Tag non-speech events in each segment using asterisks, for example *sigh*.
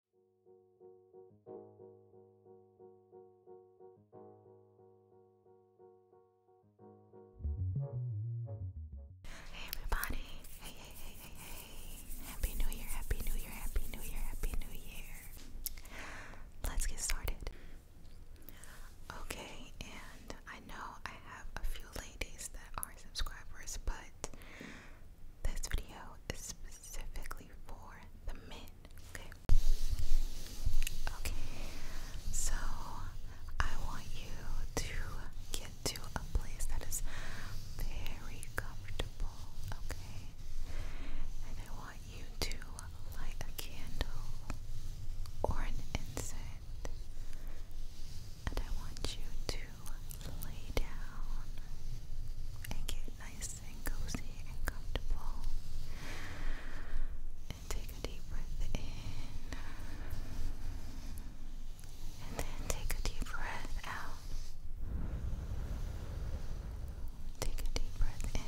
Hey everybody! Hey hey hey hey Happy New Year! Happy New Year! Happy New Year! Happy New Year! Let's get started. Okay, and I know I have a few ladies that are subscribers, but this video is specifically for the men. Okay. Okay. So I want you to get to a place that is very comfortable. Okay. And I want you to light a candle or an incense. And I want you to lay down and get nice and cozy and comfortable. And take a deep breath in. And then take a deep breath out. Take a deep breath in.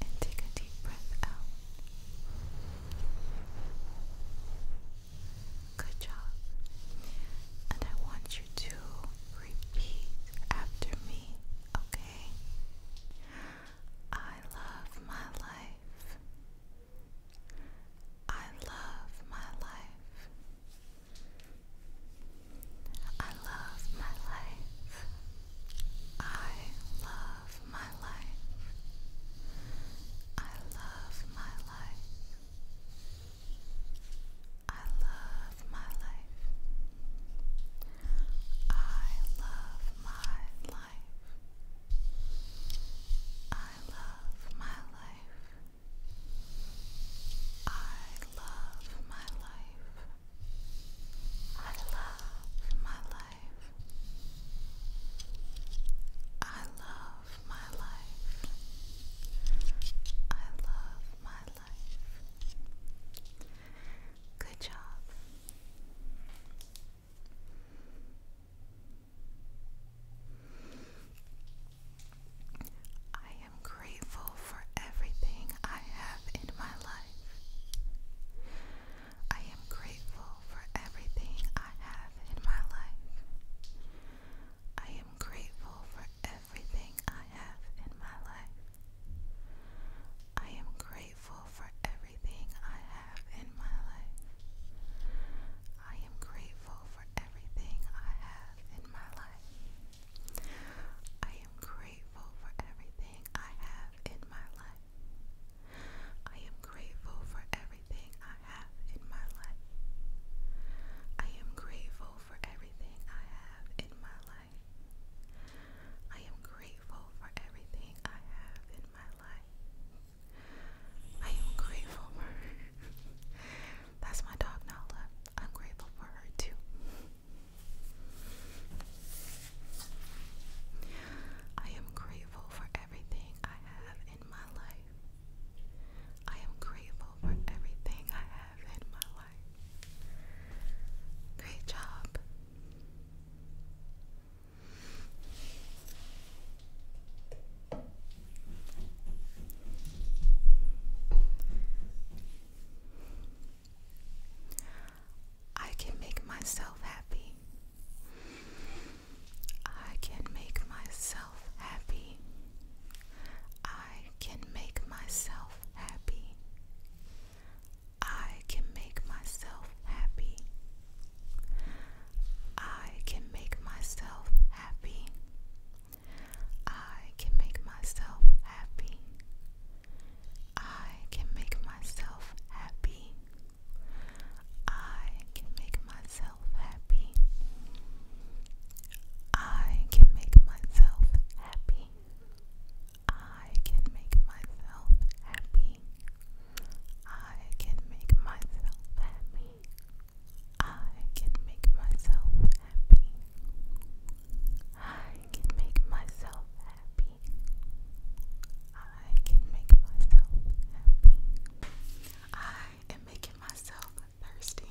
And take a deep breath out. Good job. And I want you to repeat after me, okay? I love my life. I love my life. I love my life. I love my life. I love my I love my life. I love my life. I love my life. I love my life. I love my life. I love my life. I love my life. Good job. I am grateful for everything I have in my life. I am grateful for everything I have have in my life. I am grateful for everything I have in my life. I am grateful for everything I have in my life. I am grateful for everything I have in my life. I am grateful for everything I have in my life. I am grateful for everything everything I have in my life. I am grateful for everything I have in my life. I am grateful for everything I have in my life. I am grateful for her. *laughs* That's my dog Nala. I'm grateful for her too. I am grateful for everything I have in my life. I am grateful for everything I have in my life. Great job. I can make myself happy. I can make myself happy. I can make myself happy. I can make myself happy. I can make myself happy. I can make myself happy. I can make myself happy. I can make myself happy. I can make myself happy. I can make myself happy. I can make myself happy. I can make myself happy. I can make myself happy. I can make myself happy. I am making myself thirsty.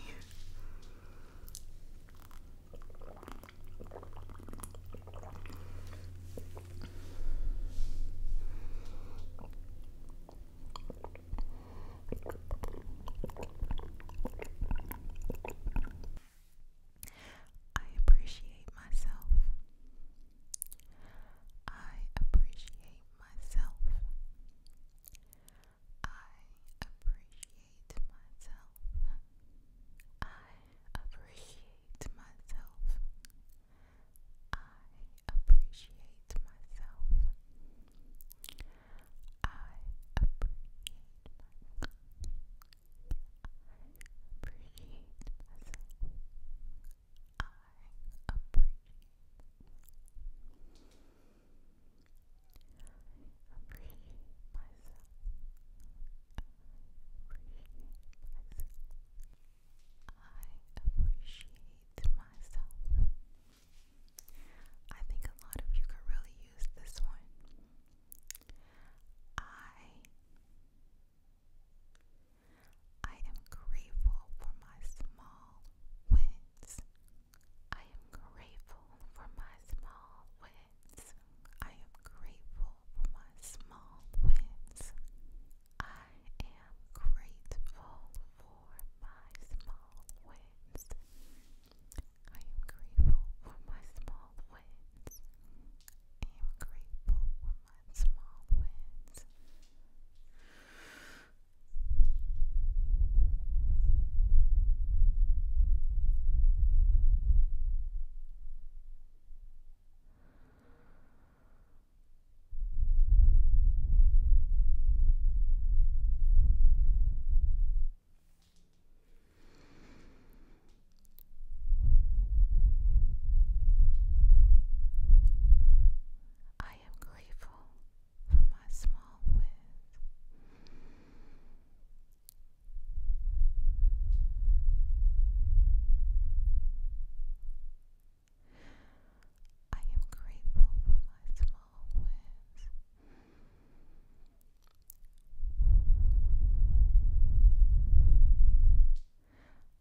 I appreciate myself. I appreciate myself. I appreciate myself. I appreciate myself. I appreciate myself. I appreciate myself appreciate I appreciate myself. I appreciate myself. I appreciate myself. I think a lot of you could really use this one. I I am grateful for my small wins. I am grateful for my small wins. I am grateful for my small wins. I am grateful for my small wins. I am grateful for my small wins. I am grateful and small wins. I am grateful for my small win. I am grateful for my small wins.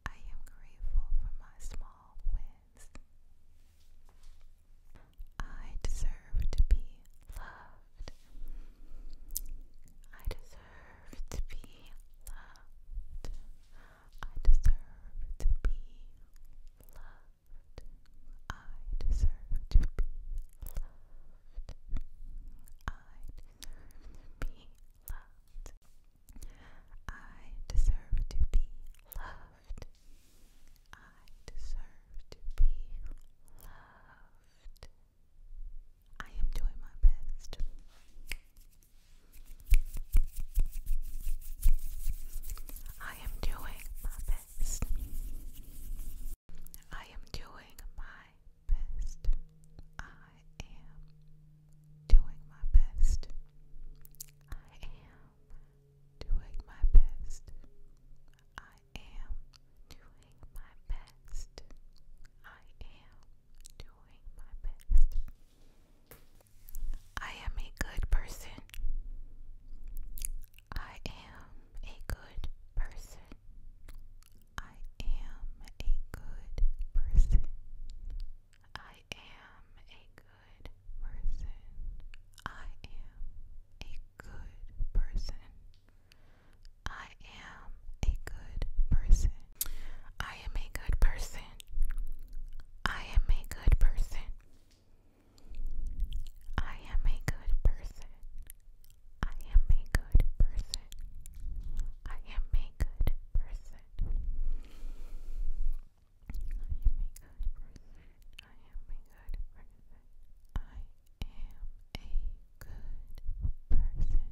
I am grateful for my small wins. I deserve to be loved. I deserve to be loved. I deserve to be loved. I deserve to be loved. I deserve to be loved. I deserve to be loved. I deserve to be loved. I am doing my best. I am doing my best. I am doing my best. I am doing my best. I am doing my best. I am doing my best. I am doing my best. I am a good person. I am a good person. I am a good person. I am a good person. I am a good person. I am a good person. I am a good person. I am a good person. I am a good person. I am a good person. I am a good person. I am a good I am a good person.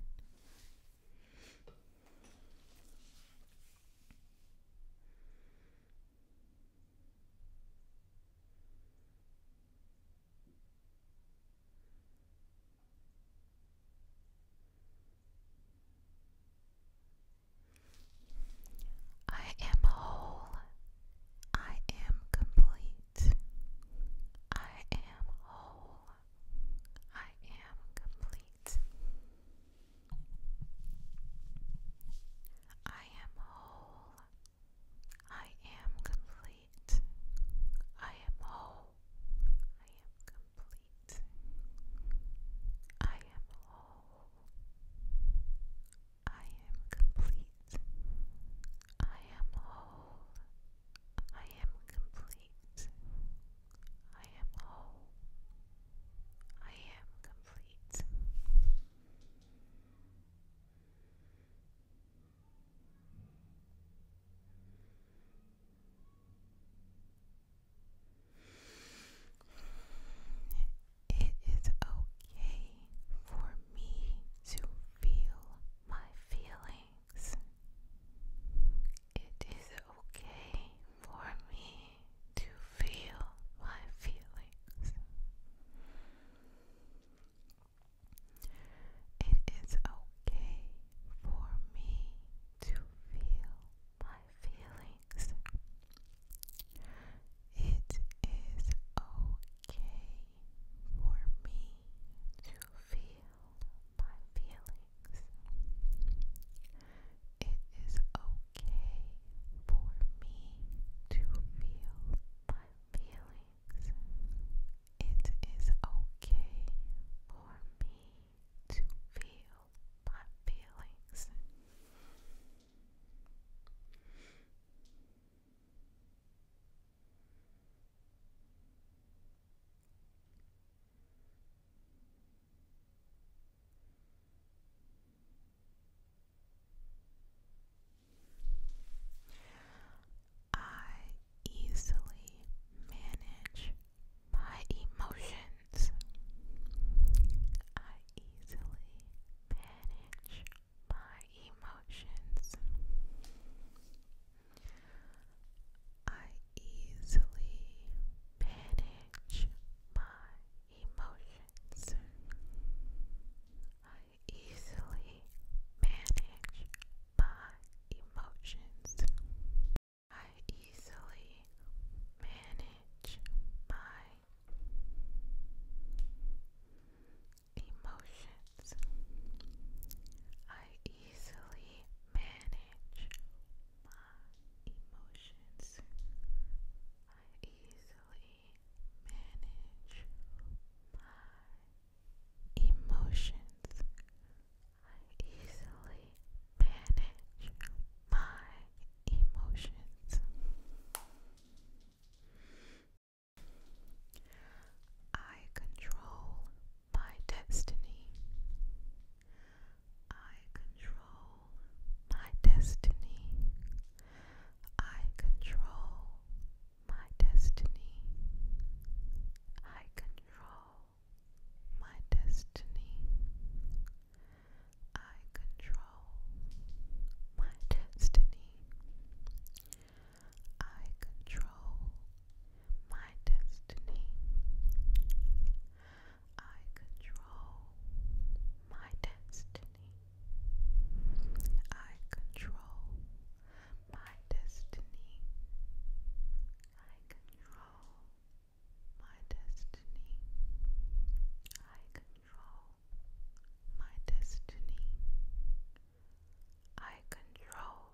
I am a good person. I am whole. I am complete. I am whole. I am complete. I am whole. I am complete. I am whole. I am complete. I am whole. I am complete. I am whole. I am complete. I am whole. I am complete. It is okay for me to feel my feelings. It is okay for me to feel my feelings. It is okay for me to feel my feelings. It is okay for me to feel my feelings. It is okay for me to feel my feelings. It is okay for me to feel my feelings. I easily manage my emotions. I easily manage my emotions. I easily manage my emotions easily manage my emotions. I easily manage my emotions. I easily manage my emotions. I easily easily manage my emotions. I easily manage my emotions. I control my destiny. I control my destiny. I control my destiny. I control my destiny. I control my destiny. I control my destiny. I control my destiny. I control my destiny. I control my destiny. I control my destiny. I control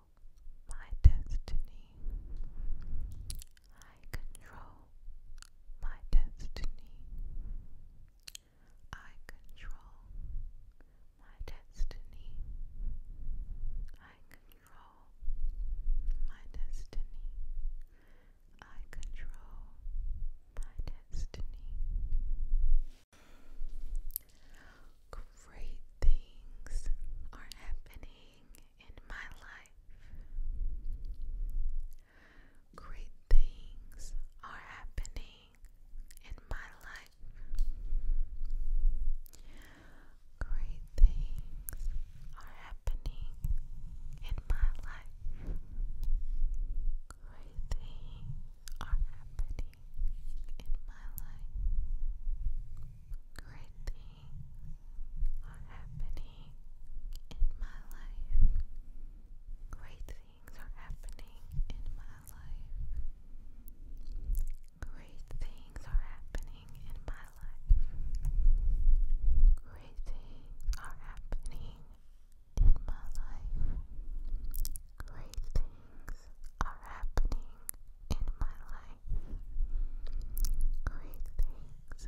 my destiny. I control my destiny. I control my destiny. I control my destiny. I control my destiny. Great things are happening in my life. Great things are happening in my life. Great things are happening in my life. Great things are happening in my life. Great things are happening in my life. Great things are happening in my life. Great things are happening in my life. Great things are happening in my life. Great things are happening in my life. Great things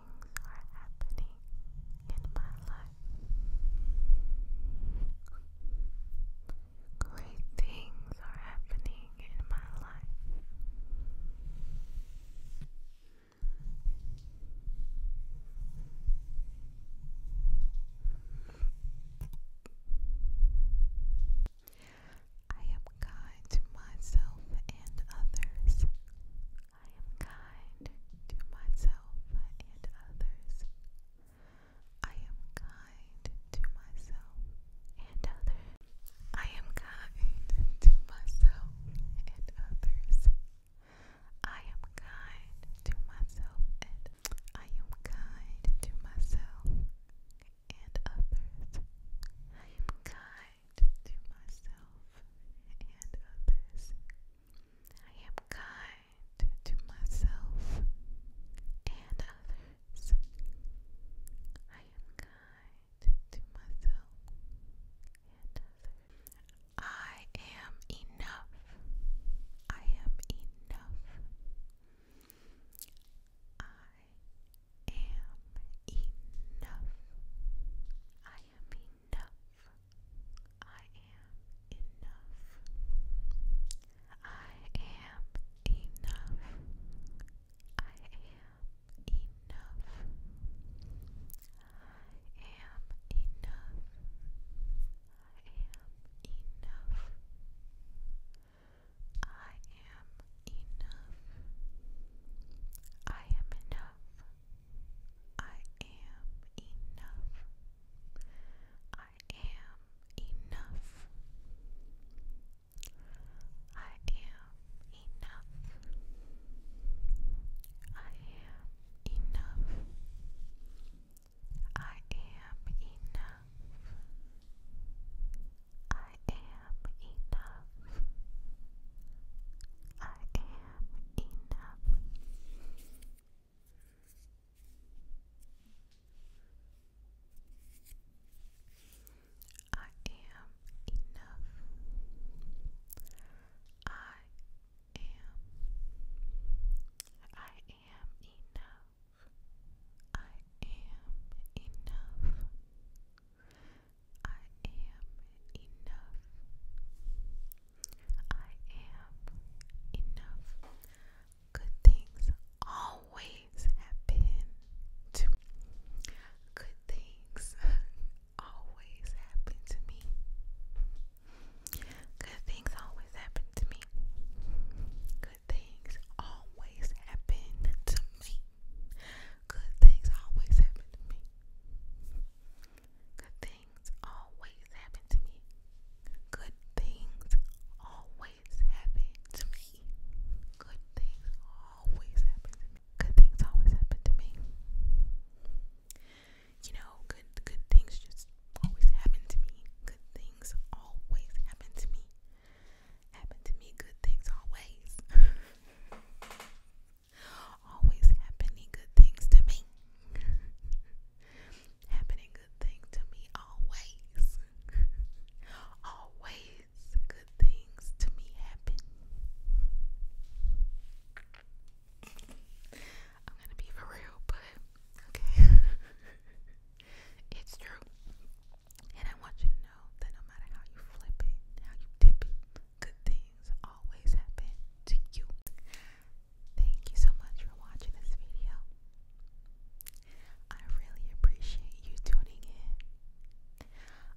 things are happening in my life. Great things are happening in my life. I am kind to myself and others. I am kind to myself and others. I am kind to myself and others. I am kind to myself and others. I am kind to myself and I am kind to myself and others. I am kind to myself and others. I am kind to myself and I am kind to myself I am enough. I am enough. I am enough. I am enough. I am enough. I am enough. I am enough. I am enough. I am enough. I am enough. I am enough. I am enough. I am enough. I am enough. I am enough. I am enough. I am enough. I am am enough. I am enough. I am. I am enough. I am enough. I am enough. I am enough. Good things always happen to Good things always happen to me. Good things always happen to me. Good things always happen to me. Good things always happen to me. Good things always happen to me. Good things always happen to me. Good things always happen to me. Good things always happen to me. You know, good good things just always happen to me. Good things always happen to me. Happen to me. Good things always. *laughs* Always happening good things to me. *laughs* happening good things to me always. *laughs* always good things to me happen. I'm gonna be for real, but okay. *laughs* it's true. And I want you to know that no matter how you flip it, how you dip it, good things always happen to you. Thank you so much for watching this video. I really appreciate you tuning in.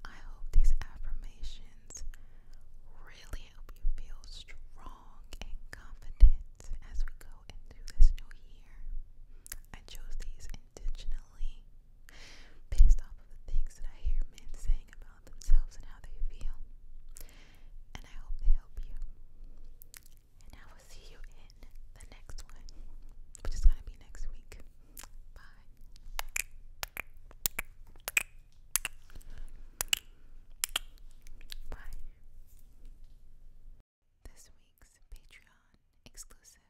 I hope these affirmations really help you feel strong and confident as we go into this new year. I chose these intentionally based off of the things that I hear men saying about themselves and how they feel. And I hope they help you. And I will see you in the next one, which is going to be next week. Bye. Bye. This week's Patreon exclusive.